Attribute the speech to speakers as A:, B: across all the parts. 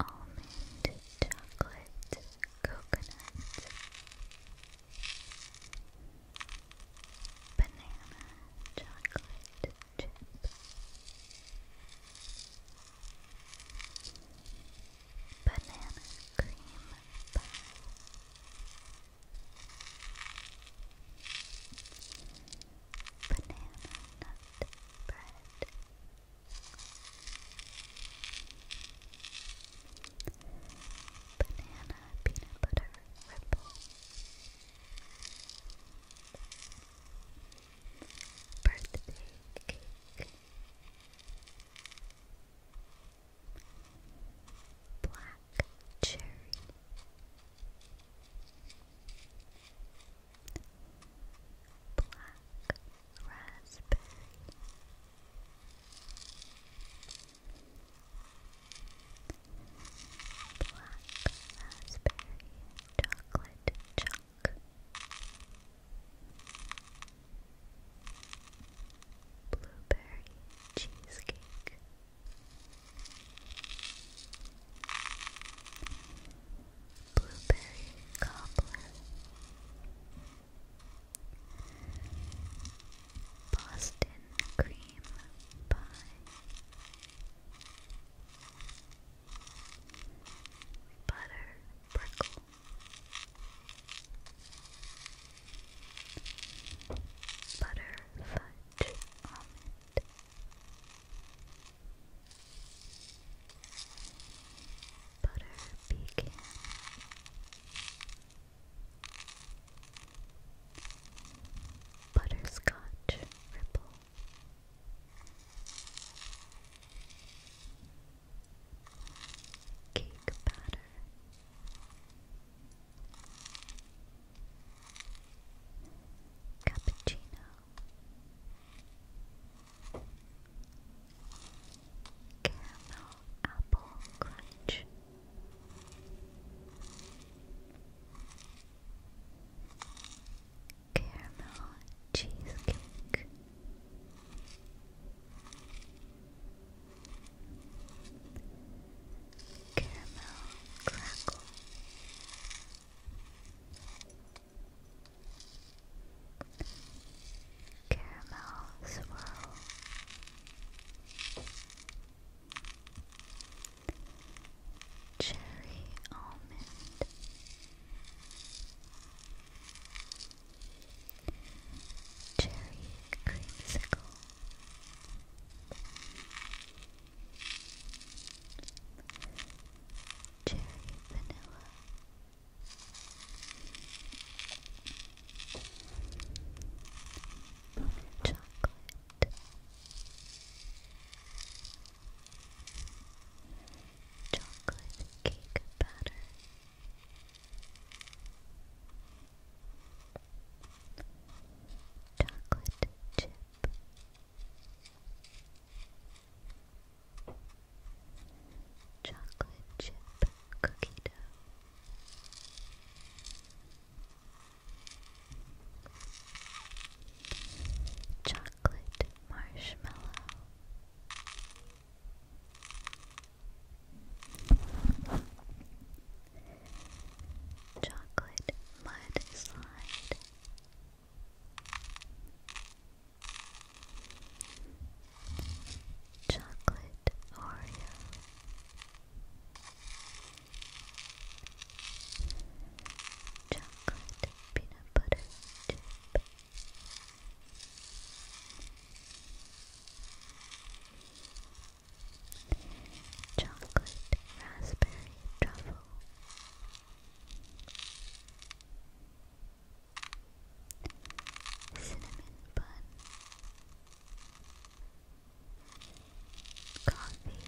A: Almond chocolate coconut banana chocolate chip banana cream pie. Banana nut bread. Banana peanut butter ripple. Birthday cake black cherry, black raspberry. Black raspberry chocolate chunk, Blueberry cheesecake. Blueberry cobbler. Boston cream pie. Butter brickle butter fudge almond. Butter pecan, butterscotch ripple, cake batter. Cappuccino Caramel Apple Crunch Caramel Cheesecake Caramel crackle. Caramel swirl. Cherry almond. Cherry creamsicle. Cherry vanilla. Chocolate. Chocolate cake batter. Chocolate chip. Chocolate chip cookie dough. Chocolate marshmallow. Chocolate mud Chocolate Oreo. Chocolate peanut butter chip. Chocolate raspberry truffle. Cinnamon bun. Coffee.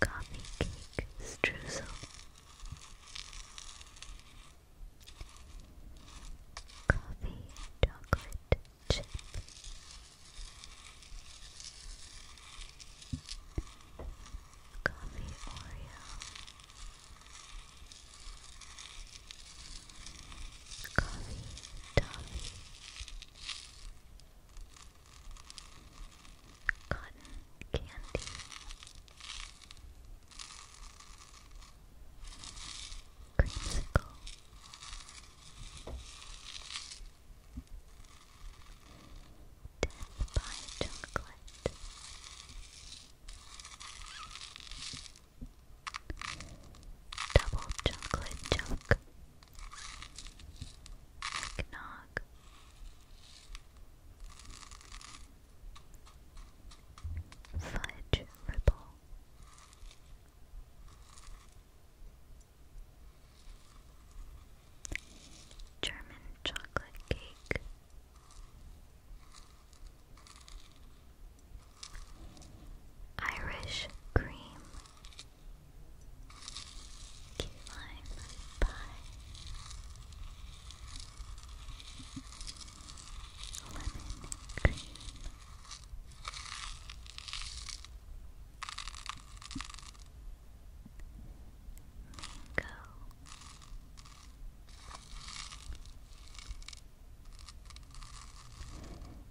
A: Coffee cake streusel coffee chocolate chip. Coffee Oreo. Coffee Toffee. Cotton Candy. Creamsicle. Death chocolate. Double chocolate joke. Eggnog. Fudge Ripple German Chocolate Cake Irish Cream Key Lime Pie lemon cream. Mango.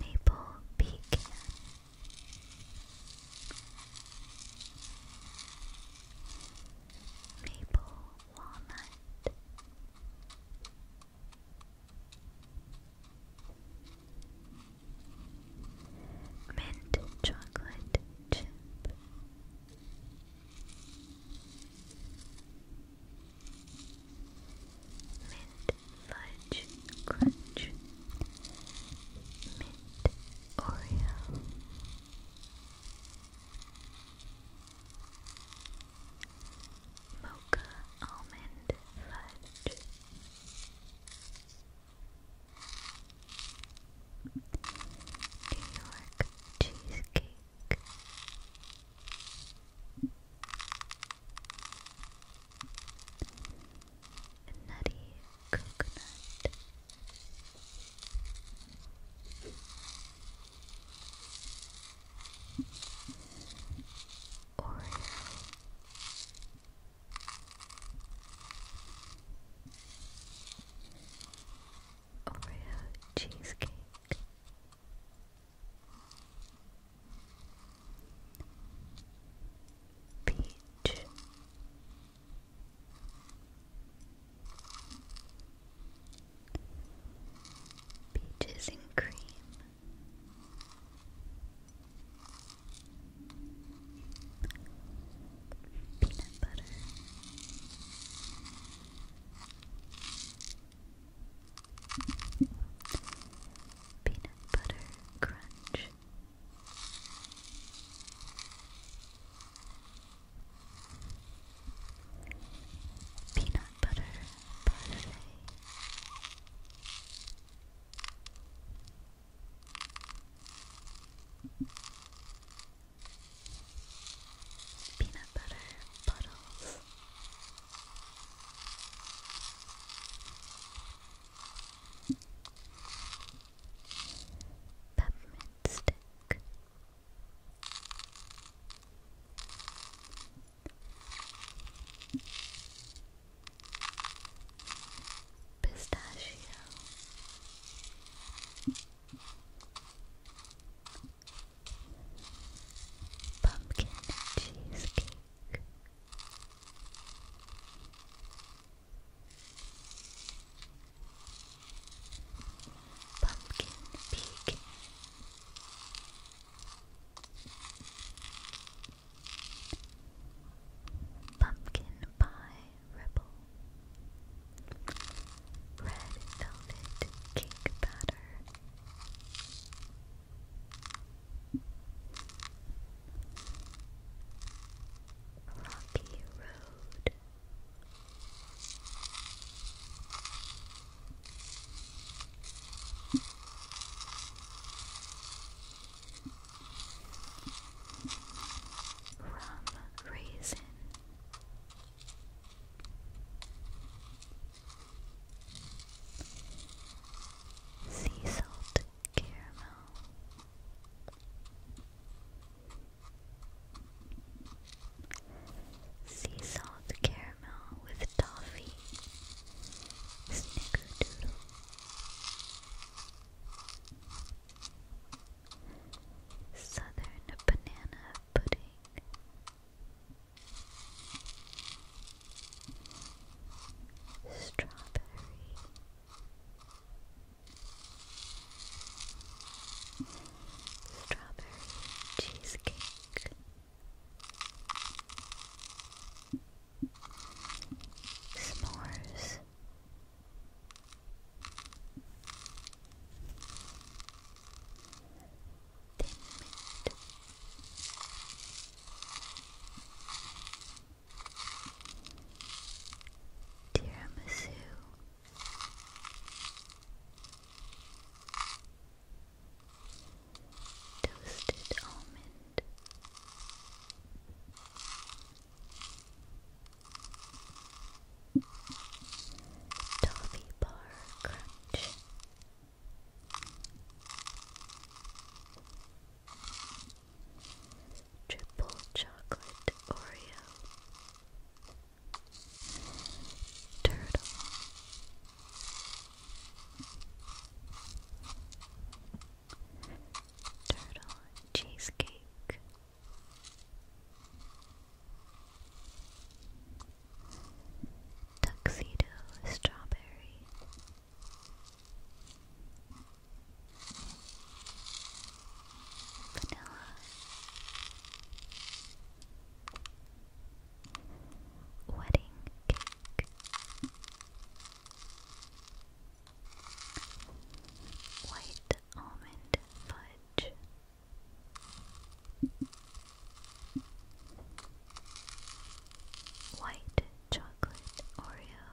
A: Maple pecan maple walnut. Mint chocolate chip, mint fudge crunch, mint Oreo, Mocha Almond Fudge New York Cheesecake
B: Nutty Coconut Oreo Oreo cheesecake Peach Peaches and cream. Peanut butter. Peanut butter crunch. Peanut butter parfait.
C: Peanut butter puddles. Peppermint stick. Pistachio Pumpkin Cheesecake Pumpkin Pig. Pumpkin Pie Rebel. Red Velvet Cake Batter. Rocky Road Rum Raisin. Sea salt caramel, Sea salt caramel with toffee. Snickerdoodle. Southern banana pudding. Strawberry strawberry cheesecake. S'mores. Thin mint. Tiramisu. Toasted almond. Toffee bar crunch. Triple chocolate Oreo. Turtle. Turtle cheesecake. Tuxedo strawberry. Vanilla Wedding cake. White almond fudge. White chocolate Oreo.